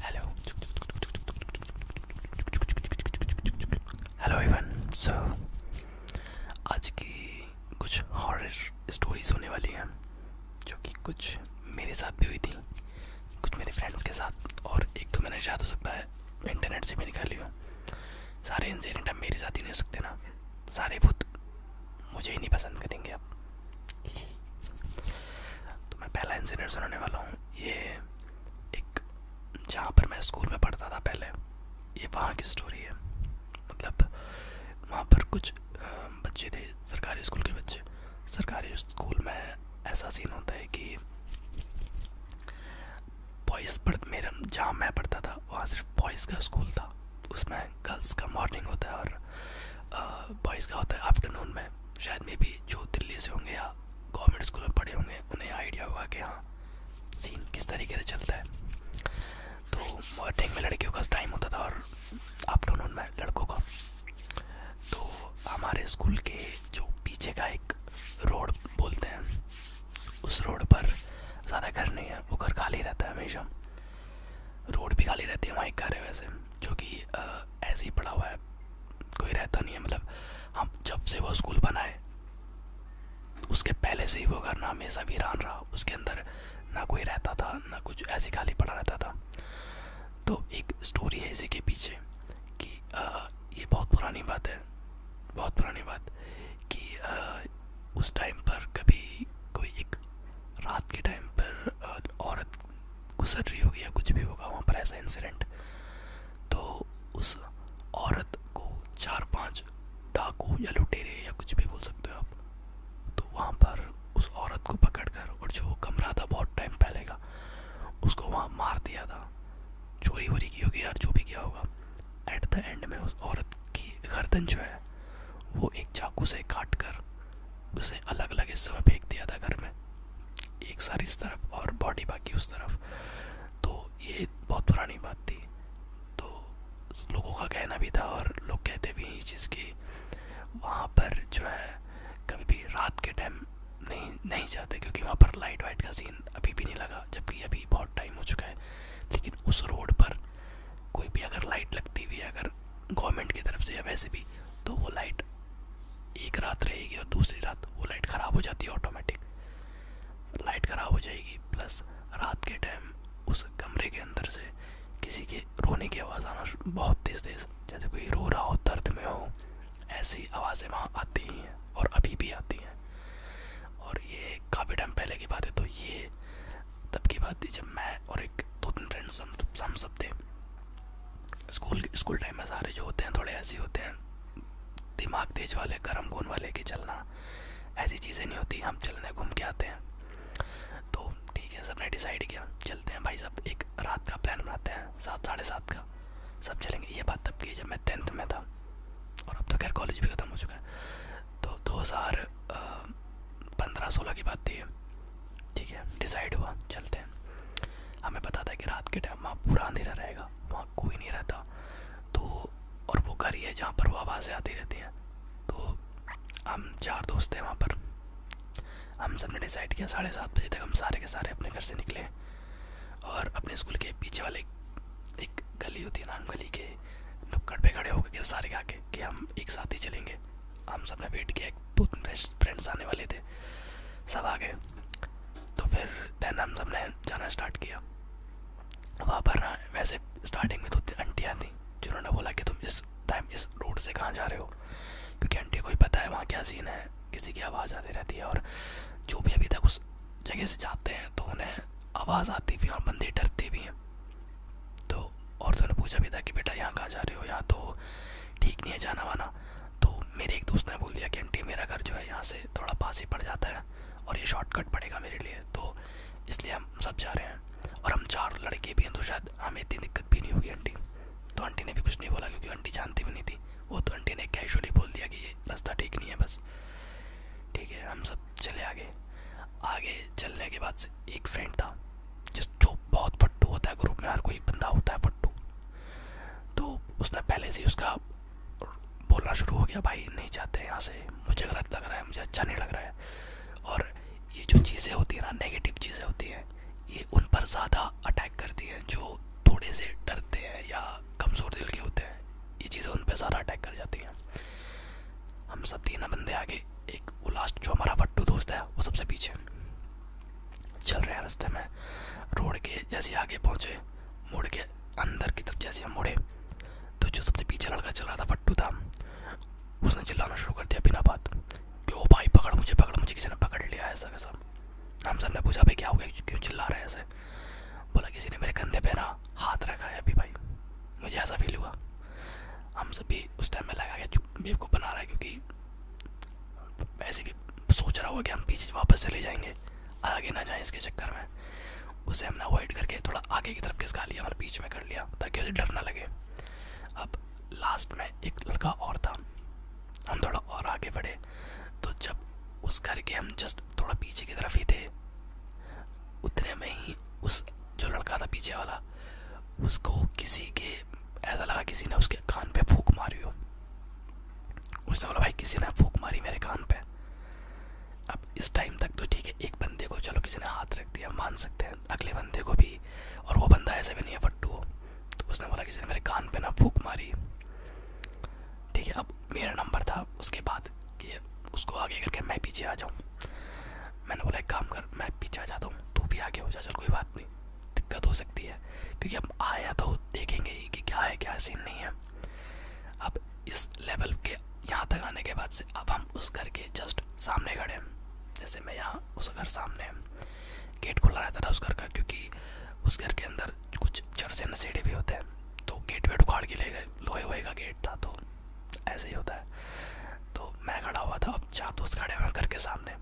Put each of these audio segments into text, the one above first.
Hello. Hello everyone. So आज की कुछ हॉरर स्टोरीज होने वाली हैं जो कि कुछ मेरे साथ भी हुई थी कुछ मेरे फ्रेंड्स के साथ और एक तो मैंने शायद हो सकता है इंटरनेट से भी निकाली हो सारे इंसिडेंट अब मेरे साथ ही नहीं हो सकते ना सारे भूत मुझे ही नहीं पसंद करेंगे अब तो मैं पहला इंसिडेंट सुनाने वाला हूँ ये एक जहाँ पर मैं स्कूल में पढ़ता था पहले ये वहाँ की स्टोरी है मतलब वहाँ पर कुछ बच्चे थे सरकारी स्कूल के बच्चे सरकारी स्कूल में ऐसा सीन होता है कि बॉयज़ पढ़ मेरा जहाँ मैं पढ़ता था वहाँ सिर्फ बॉयज़ का स्कूल था उसमें गर्ल्स का मॉर्निंग होता है और बॉयज़ का होता है आफ्टरनून में शायद में भी जो दिल्ली से होंगे या गवर्नमेंट स्कूल में पढ़े होंगे उन्हें आइडिया हुआ कि हाँ सीन किस तरीके से चलता है तो मॉर्निंग में लड़कियों का टाइम होता था और आफ्टरनून में लड़कों का तो हमारे स्कूल के जो पीछे का एक रोड बोलते हैं उस रोड पर ज़्यादा घर नहीं है वो घर खाली रहता है हमेशा रोड भी खाली रहती है वहाँ एक घर है वैसे जो कि ऐसे ही पड़ा हुआ है कोई रहता नहीं है मतलब हम जब से वो स्कूल बना है उसके पहले से ही वो घर ना हमेशा रान रहा उसके अंदर ना कोई रहता था ना कुछ ऐसे खाली पड़ा रहता था तो एक स्टोरी है इसी के पीछे कि आ, ये बहुत पुरानी बात है बहुत पुरानी बात कि उस टाइम पर कभी कोई एक रात के टाइम पर औरत गुजर रही होगी या कुछ भी होगा वहाँ पर ऐसा इंसिडेंट तो उस औरत को चार पांच डाकू या लुटेरे या कुछ भी बोल सकते हो आप तो वहाँ पर उस औरत को पकड़कर और जो कमरा था बहुत टाइम पहले का उसको वहाँ मार दिया था चोरी वोरी की होगी यार जो भी किया होगा एट द एंड में उस औरत की गर्दन जो है वो एक चाकू से काट कर उसे अलग अलग हिस्सों में फेंक दिया था घर में एक सर इस तरफ और बॉडी बाकी उस तरफ तो ये बहुत पुरानी बात थी तो लोगों का कहना भी था और लोग कहते भी हैं इस चीज़ की वहाँ पर जो है कभी भी रात के टाइम नहीं नहीं जाते क्योंकि वहाँ पर लाइट वाइट का सीन अभी भी नहीं लगा जबकि अभी बहुत टाइम हो चुका है लेकिन उस रोड पर कोई भी अगर लाइट लगती हुई अगर गवर्नमेंट की तरफ से या वैसे भी तो वो लाइट एक रात रहेगी और दूसरी रात वो लाइट ख़राब हो जाती है ऑटोमेटिक लाइट ख़राब हो जाएगी प्लस रात के टाइम उस कमरे के अंदर से किसी के रोने की आवाज़ आना बहुत तेज़ तेज़ जैसे कोई रो रहा हो दर्द में हो ऐसी आवाज़ें वहाँ आती ही हैं और अभी भी आती हैं और ये काफ़ी टाइम पहले की बात है तो ये तब की बात थी जब मैं और एक दो तीन फ्रेंड्स हम हम सब थे स्कूल स्कूल टाइम में सारे जो होते हैं थोड़े ऐसे होते हैं दिमाग तेज वाले गर्म खून वाले कि चलना ऐसी चीज़ें नहीं होती हम चलने घूम के आते हैं तो ठीक है सबने डिसाइड किया चलते हैं भाई सब एक रात का प्लान बनाते हैं सात साढ़े सात का सब चलेंगे ये बात तब की जब मैं टेंथ में था और अब तो खैर कॉलेज भी ख़त्म हो चुका है तो 2015 सोलह की बात थी ठीक है डिसाइड हुआ चलते हैं हमें पता था कि रात के टाइम वहाँ पूरा अंधेरा रहेगा वहाँ कोई नहीं रहता तो और वो घर ही है जहाँ पर वो आवाज़ें आती रहती हैं तो हम चार दोस्त हैं वहाँ पर हम सब ने डिसाइड किया साढ़े सात बजे तक हम सारे के सारे अपने घर से निकले और अपने स्कूल के पीछे वाले एक गली होती है नाम गली के नुक्कड़ पे खड़े हो गए सारे आके कि हम एक साथ ही चलेंगे हम सब ने वेट किया दो तीन फ्रेंड्स आने वाले थे सब आ गए तो फिर दैन हम सब ने जाना स्टार्ट किया वहाँ पर ना वैसे स्टार्टिंग में दो तीन आंटियाँ थी जिन्होंने बोला कि तुम इस टाइम इस रोड से कहाँ जा रहे हो क्योंकि आंटी को ही पता है वहाँ क्या सीन है किसी की आवाज़ आती रहती है और जो भी अभी तक उस जगह से जाते हैं तो उन्हें आवाज़ आती भी और बंदे डरते भी हैं तो औरतों ने पूछा भी था कि बेटा यहाँ कहाँ जा रहे हो यहाँ तो ठीक नहीं है जाना वाना तो मेरे एक दोस्त ने बोल दिया कि आंटी मेरा घर जो है यहाँ से थोड़ा पास ही पड़ जाता है और ये शॉर्टकट पड़ेगा मेरे लिए तो इसलिए हम सब जा रहे हैं और हम चार लड़के भी हैं तो शायद हमें इतनी दिक्कत भी नहीं होगी आंटी तो आंटी ने भी कुछ नहीं बोला क्योंकि आंटी जानती भी नहीं थी वो तो आंटी ने कैशली बोल दिया कि ये रास्ता ठीक नहीं है बस ठीक है हम सब चले आगे आगे चलने के बाद से एक फ्रेंड था जिस जो बहुत पट्टू होता है ग्रुप में हर कोई बंदा होता है फट्टू तो उसने पहले से उसका बोलना शुरू हो गया भाई नहीं चाहते यहाँ से मुझे गलत लग रहा है मुझे अच्छा नहीं लग रहा है और ये जो चीज़ें होती हैं ना नेगेटिव चीज़ें होती हैं ये उन पर ज़्यादा अटैक करती हैं जो थोड़े से डरते हैं या कमज़ोर दिल के होते हैं ये चीज़ें उन पर ज़्यादा अटैक कर जाती हैं हम सब तीन बंदे आगे एक वो लास्ट जो हमारा वट्टू दोस्त है वो सबसे पीछे चल रहे हैं रास्ते में रोड के जैसे आगे पहुँचे मुड़ के अंदर की तरफ जैसे हम मुड़े तो जो सबसे पीछे लड़का चल रहा था वट्टू था उसने चिल्लाना शुरू कर दिया बिना बात कि ओ भाई पकड़ मुझे पकड़ मुझे किसी ने पकड़ लिया ऐसा कैसा हम सब ने पूछा भाई क्या हो गया क्यों चिल्ला रहे हैं ऐसे बोला किसी ने मेरे कंधे पे ना हाथ रखा है अभी भाई मुझे ऐसा फील हुआ हम सभी उस टाइम में लगा कि बेवकूफ़ बना रहा है क्योंकि वैसे भी सोच रहा हुआ कि हम पीछे वापस चले जाएंगे आगे ना जाएं इसके चक्कर में उसे हमने अवॉइड करके थोड़ा आगे की तरफ खिसका लिया हमारे बीच में कर लिया ताकि उसे डर ना लगे अब लास्ट में एक लड़का और था हम थोड़ा और आगे बढ़े तो जब उस घर के हम जस्ट जस्ट थोड़ा पीछे की तरफ ही थे उतने में ही उस जो लड़का था पीछे वाला उसको किसी के ऐसा लगा किसी ने उसके कान पे फूक मारी हो उसने बोला भाई किसी ने फूक मारी मेरे कान पे अब इस टाइम तक तो ठीक है एक बंदे को चलो किसी ने हाथ रख दिया मान सकते हैं अगले बंदे को भी और वो बंदा ऐसे भी नहीं है फट्टू तो उसने बोला किसी ने मेरे कान पर ना फूक मारी ठीक है अब मेरा नंबर था उसके बाद कि उसको आगे करके मैं पीछे आ जाऊँ मैंने बोला एक काम कर मैं पीछे आ जाता हूँ तू भी आगे हो जा चल कोई बात नहीं दिक्कत हो सकती है क्योंकि अब आया तो देखेंगे ही कि क्या है क्या सीन नहीं है अब इस लेवल के यहाँ तक आने के बाद से अब हम उस घर के जस्ट सामने खड़े हैं जैसे मैं यहाँ उस घर सामने गेट खुला रहता था उस घर का क्योंकि उस घर के अंदर कुछ चर से नशेड़े भी होते हैं तो गेट वेट उखाड़ के ले गए लोहे वोहे का गेट था तो ऐसे ही होता है तो मैं खड़ा हुआ था अब चार दोस्त खड़े हुए घर के सामने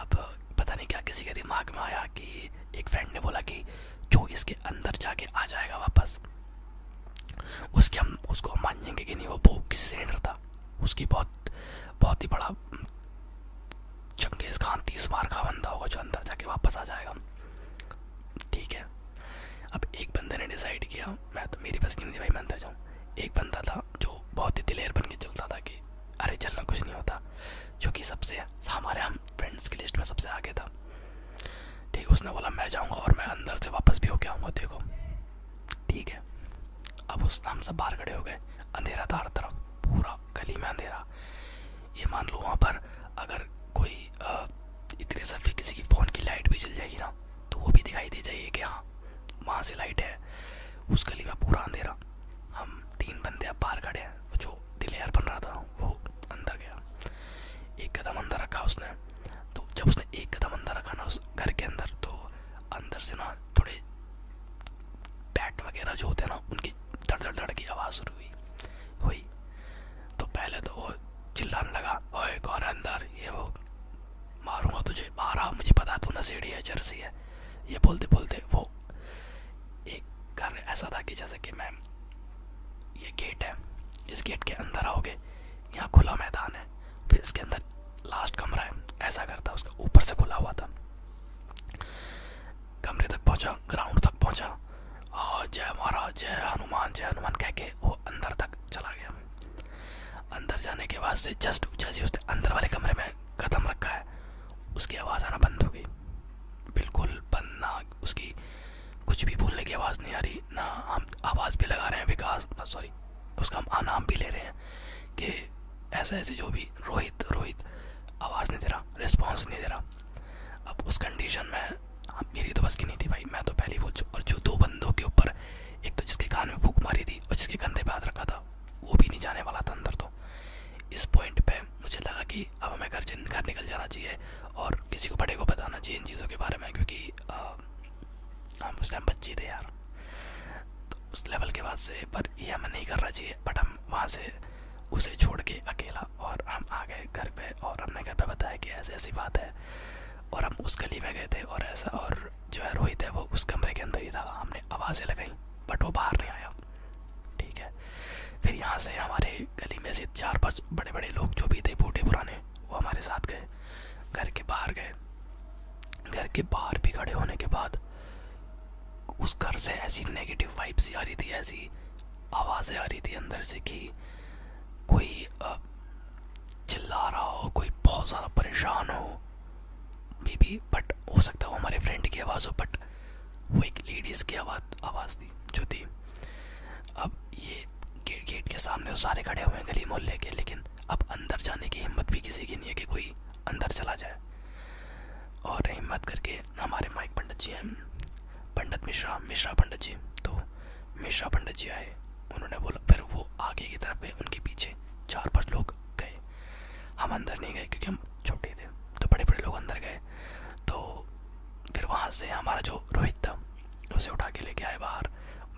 अब पता नहीं क्या किसी के दिमाग में आया कि एक फ्रेंड ने बोला कि जो इसके अंदर जाके आ जाएगा वापस उसके हम उसको हम मान जाएंगे कि नहीं वो बहुत किसी सिलेंडर था उसकी बहुत बहुत ही बड़ा चंगेज़ खान तीस मार का बंदा होगा जो अंदर जाके वापस आ जाएगा ठीक है अब एक बंदे ने डिसाइड किया मैं तो मेरी बस की नहीं भाई मैं अंदर जाऊँ एक बंदा था जो बहुत ही दिलेर बन के चलता था कि अरे चलना कुछ नहीं होता जो कि सबसे हमारे हम फ्रेंड्स की लिस्ट में सबसे आगे था ठीक उसने बोला मैं जाऊँगा और मैं अंदर से वापस भी होके आऊँगा देखो ठीक है अब उस हम सब बाहर खड़े हो गए अंधेरा था हर तरफ पूरा गली में अंधेरा ये मान लो वहाँ पर अगर कोई इतने सफी किसी की फ़ोन की लाइट भी चल जाएगी ना तो वो भी दिखाई दे जाएगी कि हाँ वहाँ से लाइट है उस गली में पूरा अंधेरा हम तीन बंदे अब बाहर खड़े हैं जो दिलेयर बन रहा था वो अंदर गया एक कदम अंदर रखा उसने तो जब उसने एक कदम अंदर रखा ना उस घर के अंदर तो अंदर से ना थोड़े बैट वगैरह जो होते हैं ना उनकी धड़ धड़ धड़ की आवाज़ शुरू हुई हुई तो पहले तो वो चिल्लाने लगा ओए कौन है अंदर ये वो मारूंगा तुझे बाहर आओ मुझे पता तू नसीढ़ी है जर्सी है ये बोलते बोलते वो एक घर ऐसा था कि जैसे कि मैम ये गेट है इस गेट के अंदर आओगे यहाँ खुला मैदान है फिर इसके अंदर लास्ट कमरा है ऐसा घर था उसका ऊपर से खुला हुआ था कमरे तक पहुंचा ग्राउंड तक पहुंचा और जय महाराज जय हनुमान जय हनुमान कह के वो अंदर तक चला गया अंदर जाने के बाद से जस्ट जैसे उसने अंदर वाले कमरे में कदम रखा है उसकी आवाज़ आना बंद हो गई बिल्कुल बंद ना उसकी कुछ भी बोलने की आवाज़ नहीं आ रही ना हम आवाज़ भी लगा रहे हैं विकास सॉरी उसका हम आनाम भी ले रहे हैं कि ऐसे ऐसे जो भी रोहित रोहित आवाज़ नहीं दे रहा रिस्पॉन्स नहीं दे रहा अब उस कंडीशन में अब हाँ, मेरी तो बस की नहीं थी भाई मैं तो पहले बोल और जो दो बंदों के ऊपर एक तो जिसके कान में फूक मारी थी और जिसके कंधे पे हाथ रखा था वो भी नहीं जाने वाला था अंदर तो इस पॉइंट पर मुझे लगा कि अब हमें घर घर निकल जाना चाहिए और किसी को बड़े को बताना चाहिए इन चीज़ों के बारे में क्योंकि हम हाँ, उस टाइम बच्चे थे यार तो उस लेवल के बाद से पर यह हमें नहीं करना चाहिए बट हम वहाँ से उसे छोड़ के अकेला और हम आ गए घर पे और हमने घर पे बताया कि ऐसी ऐसी बात है और हम उस गली में गए थे और ऐसा और जो है रोहित है वो उस कमरे के अंदर ही था हमने आवाज़ें लगाई बट वो बाहर नहीं आया ठीक है फिर यहाँ से हमारे गली में से चार पाँच बड़े बड़े लोग जो भी थे बूढ़े पुराने वो हमारे साथ गए घर के बाहर गए घर के बाहर भी खड़े होने के बाद उस घर से ऐसी नेगेटिव वाइब्स आ रही थी ऐसी आवाज़ें आ रही थी अंदर से कि कोई चिल्ला रहा हो कोई बहुत ज़्यादा परेशान हो मे बी बट हो सकता वो हमारे फ्रेंड की आवाज़ हो बट वो एक लेडीज़ की आवाज़ आवाज़ थी जो थी अब ये गेट गेट के सामने वो सारे खड़े हुए हैं गली मोहल्ले के लेकिन अब अंदर जाने की हिम्मत भी किसी की नहीं है कि कोई अंदर चला जाए और हिम्मत करके हमारे माइक पंडित जी हैं पंडित मिश्रा मिश्रा पंडित जी तो मिश्रा पंडित जी आए उन्होंने बोला फिर वो आगे की तरफ गए उनके पीछे चार पांच लोग गए हम अंदर नहीं गए क्योंकि हम छोटे थे तो बड़े बड़े लोग अंदर गए तो फिर वहाँ से हमारा जो रोहित था उसे उठा के लेके आए बाहर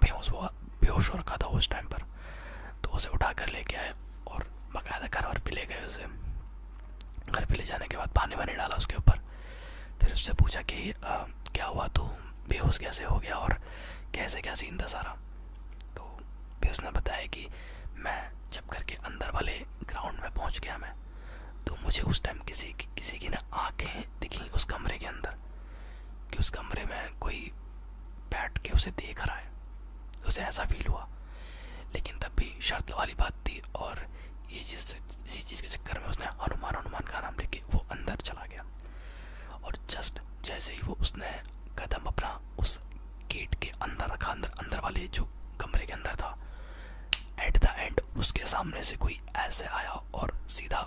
बेहोश हुआ बेहोश हो रखा था उस टाइम पर तो उसे उठा कर लेके आए और बाकायदा घर वर पे ले गए उसे घर पे ले जाने के बाद पानी वानी डाला उसके ऊपर फिर उससे पूछा कि आ, क्या हुआ तो बेहोश कैसे हो गया और कैसे क्या सीन था सारा तो फिर उसने बताया कि मैं जब घर के अंदर वाले ग्राउंड में पहुंच गया मैं तो मुझे उस टाइम किसी की किसी की ना आँखें दिखी उस कमरे के अंदर कि उस कमरे में कोई बैठ के उसे देख रहा है उसे ऐसा फील हुआ लेकिन तब भी शर्त वाली बात थी और ये जिस इसी चीज़ के चक्कर में उसने हनुमान हनुमान का नाम लेके वो अंदर चला गया और जस्ट जैसे ही वो उसने कदम अपना उस गेट के अंदर रखा अंदर अंदर वाले जो कमरे के अंदर था एट द एंड उसके सामने से कोई ऐसे आया और सीधा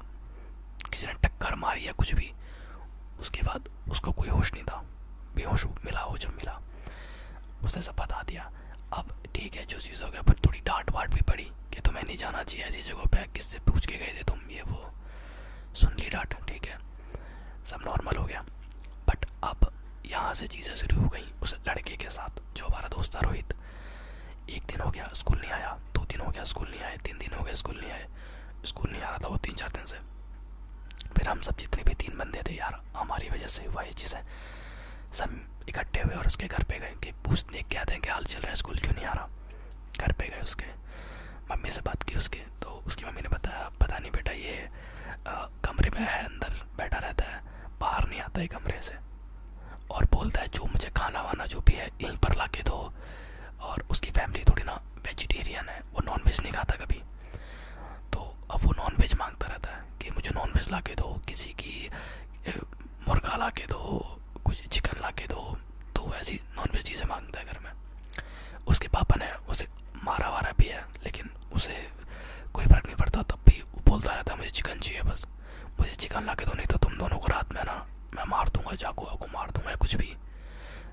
किसी ने टक्कर मारी या कुछ भी उसके बाद उसको कोई होश नहीं था बेहोश मिला हो जब मिला उसने सब बता दिया अब ठीक है जो चीज़ हो गया पर थोड़ी डांट वाट भी पड़ी कि तुम्हें नहीं जाना चाहिए ऐसी जगह पर किससे पूछ के गए थे तुम ये वो सुन ली डांट ठीक है सब नॉर्मल हो गया बट अब यहाँ से चीज़ें शुरू हो गई उस लड़के के साथ जो हमारा दोस्त था रोहित एक दिन हो गया स्कूल नहीं आया दो दिन हो गया स्कूल नहीं आए तीन दिन हो गया स्कूल नहीं आए स्कूल नहीं आ रहा था वो तीन चार दिन से फिर हम सब जितने भी तीन बंदे थे यार हमारी वजह से हुआ ये चीज़ें सब इकट्ठे हुए और उसके घर पे गए कि पूछने क्या थे कि हाल चल रहा है स्कूल क्यों नहीं आ रहा घर पे गए उसके मम्मी से बात की उसके तो उसकी मम्मी ने बताया पता नहीं बेटा ये आ, कमरे में है अंदर बैठा रहता है बाहर नहीं आता है कमरे से और बोलता है जो मुझे खाना वाना जो भी है यहीं पर ला के दो और उसकी फैमिली थोड़ी ना वेजिटेरियन है वो नॉन वेज नहीं खाता कभी तो अब वो नॉन वेज मांगता रहता है कि मुझे नॉन वेज ला के दो किसी की मुर्गा ला के दो कुछ चिकन ला के दो तो ऐसी नॉन वेज चीज़ें मांगता है घर में उसके पापा ने उसे मारा वारा भी है लेकिन उसे कोई फ़र्क नहीं पड़ता तब भी वो बोलता रहता है मुझे चिकन चाहिए बस मुझे चिकन ला के दो नहीं तो तुम दोनों को रात में ना मैं मार दूंगा चाकू वाकू मार दूंगा कुछ भी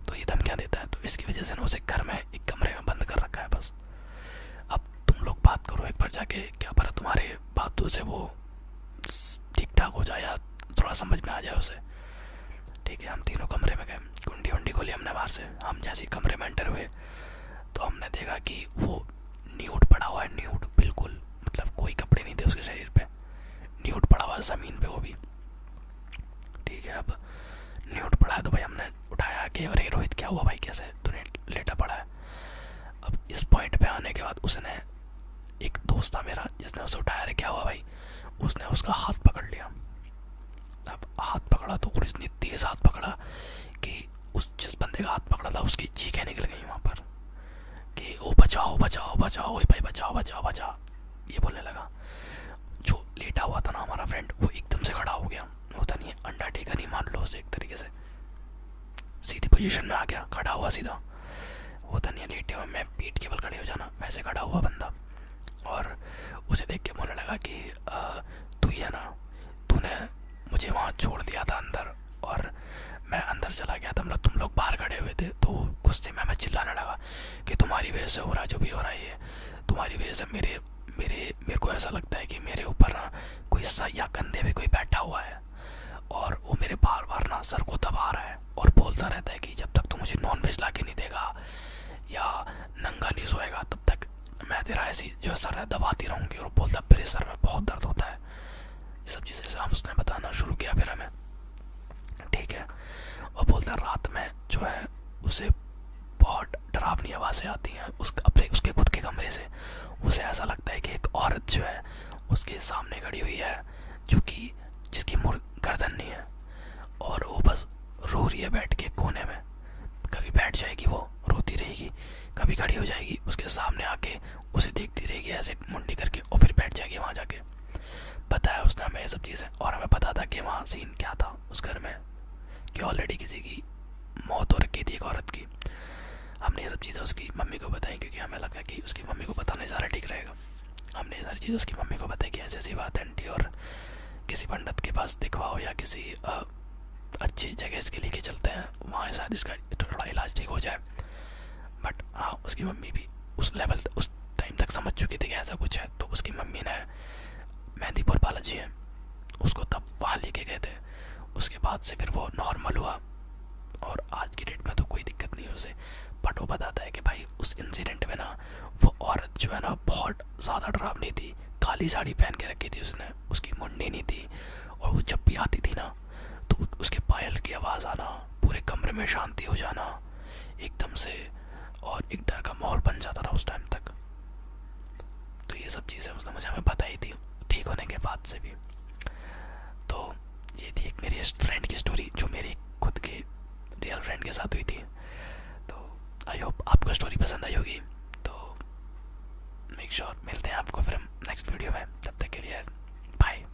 तो ये धमकियाँ देता है तो इसकी वजह से ना उसे घर में एक कमरे में बंद कर रखा है बस अब तुम लोग बात करो एक बार जाके क्या पर तुम्हारे बातों से वो ठीक ठाक हो जाए या थोड़ा समझ में आ जाए उसे ठीक है हम तीनों कमरे में गए कुंडी वंडी खोली हमने बाहर से हम जैसे कमरे में एंटर हुए तो हमने देखा कि वो न्यूट पड़ा हुआ है न्यूट बिल्कुल मतलब कोई कपड़े नहीं थे उसके शरीर पर न्यूट पड़ा हुआ है ज़मीन पर वो भी ठीक है अब न्यूट पढ़ा तो भाई हमने उठाया कि अरे रोहित क्या हुआ भाई कैसे तूने लेटा पड़ा है अब इस पॉइंट पे आने के बाद उसने एक दोस्त था मेरा जिसने उसे उठाया क्या हुआ भाई उसने उसका हाथ पकड़ लिया अब हाथ पकड़ा तो और इतनी तेज़ हाथ पकड़ा कि उस जिस बंदे का हाथ पकड़ा था उसकी चीखें निकल गई वहाँ पर कि ओ बचाओ बचाओ बचाओ भाई बचाओ बचाओ बचाओ ये बोलने लगा ना जो लेटा हुआ था ना हमारा फ्रेंड वो एकदम से खड़ा हो गया होता नहीं है अंडा टेका नहीं मान लो उसे एक तरीके से सीधी पोजीशन में आ गया खड़ा हुआ सीधा होता नहीं है लेटे हुए मैं पीठ के बल खड़े हो जाना वैसे खड़ा हुआ बंदा और उसे देख के बोलने लगा कि तू ही है ना तूने मुझे वहाँ छोड़ दिया था अंदर और मैं अंदर चला गया था मतलब तुम लोग बाहर खड़े हुए थे तो गुस्से में मैं चिल्लाने लगा कि तुम्हारी वजह से हो रहा जो भी हो रहा है तुम्हारी वजह से मेरे मेरे मेरे को ऐसा लगता है कि मेरे ऊपर ना कोई सया कंधे पे कोई बैठा हुआ है और वो मेरे बार बार ना सर को दबा रहा है और बोलता रहता है कि जब तक तू मुझे नॉन वेज ला के नहीं देगा या नंगा नहीं सोएगा तब तक मैं तेरा ऐसी जो सर है दबाती रहूँगी और बोलता मेरे सर में बहुत दर्द होता है सब चीज़ें से हम उसने बताना शुरू किया फिर हमें ठीक है और बोलता है रात में जो है उसे बहुत डरावनी आवाज़ें आती हैं उस अपने उसके खुद के कमरे से उसे ऐसा लगता है कि एक औरत जो है उसके सामने खड़ी हुई है जो कि जिसकी मुर गर्दन नहीं है और वो बस रो रही है बैठ के कोने में कभी बैठ जाएगी वो रोती रहेगी कभी खड़ी हो जाएगी उसके सामने आके उसे देखती रहेगी ऐसे मुंडी करके और फिर बैठ जाएगी वहाँ जाके बताया उसने हमें ये सब चीज़ें और हमें पता था कि वहाँ सीन क्या था उस घर में कि ऑलरेडी किसी की मौत हो रखी थी एक औरत की हमने ये सब चीज़ें उसकी मम्मी को बताई क्योंकि हमें लगा कि उसकी मम्मी को पता नहीं सारा ठीक रहेगा हमने ये सारी चीज़ें उसकी मम्मी को बताई कि ऐसी ऐसी बात आंटी और किसी पंडित के पास दिखवाओ या किसी अच्छी जगह इसके लेके चलते हैं वहाँ शायद इसका थोड़ा इलाज ठीक हो जाए बट हाँ उसकी मम्मी भी उस लेवल उस टाइम तक समझ चुकी थी कि ऐसा कुछ है तो उसकी मम्मी ने मेहंदीपुर बालाजी है उसको तब वहाँ लेके गए थे उसके बाद से फिर वो नॉर्मल हुआ और आज की डेट में तो कोई दिक्कत नहीं उसे बट वो बताता है कि भाई उस इंसिडेंट में ना वो औरत जो है ना बहुत ज़्यादा डरावनी थी काली साड़ी पहन के रखी थी उसने उसकी मुंडी नहीं थी और वो जब भी आती थी ना तो उसके पायल की आवाज़ आना पूरे कमरे में शांति हो जाना एकदम से और एक डर का माहौल बन जाता था उस टाइम तक तो ये सब चीज़ें उसने मुझे हमें बताई थी ठीक होने के बाद से भी तो ये थी एक मेरी फ्रेंड की स्टोरी जो मेरी खुद के रियल फ्रेंड के साथ हुई थी तो आई होप आपको स्टोरी पसंद आई होगी तो मेक श्योर मिलते हैं आपको फिर हम नेक्स्ट वीडियो में तब तक के लिए बाय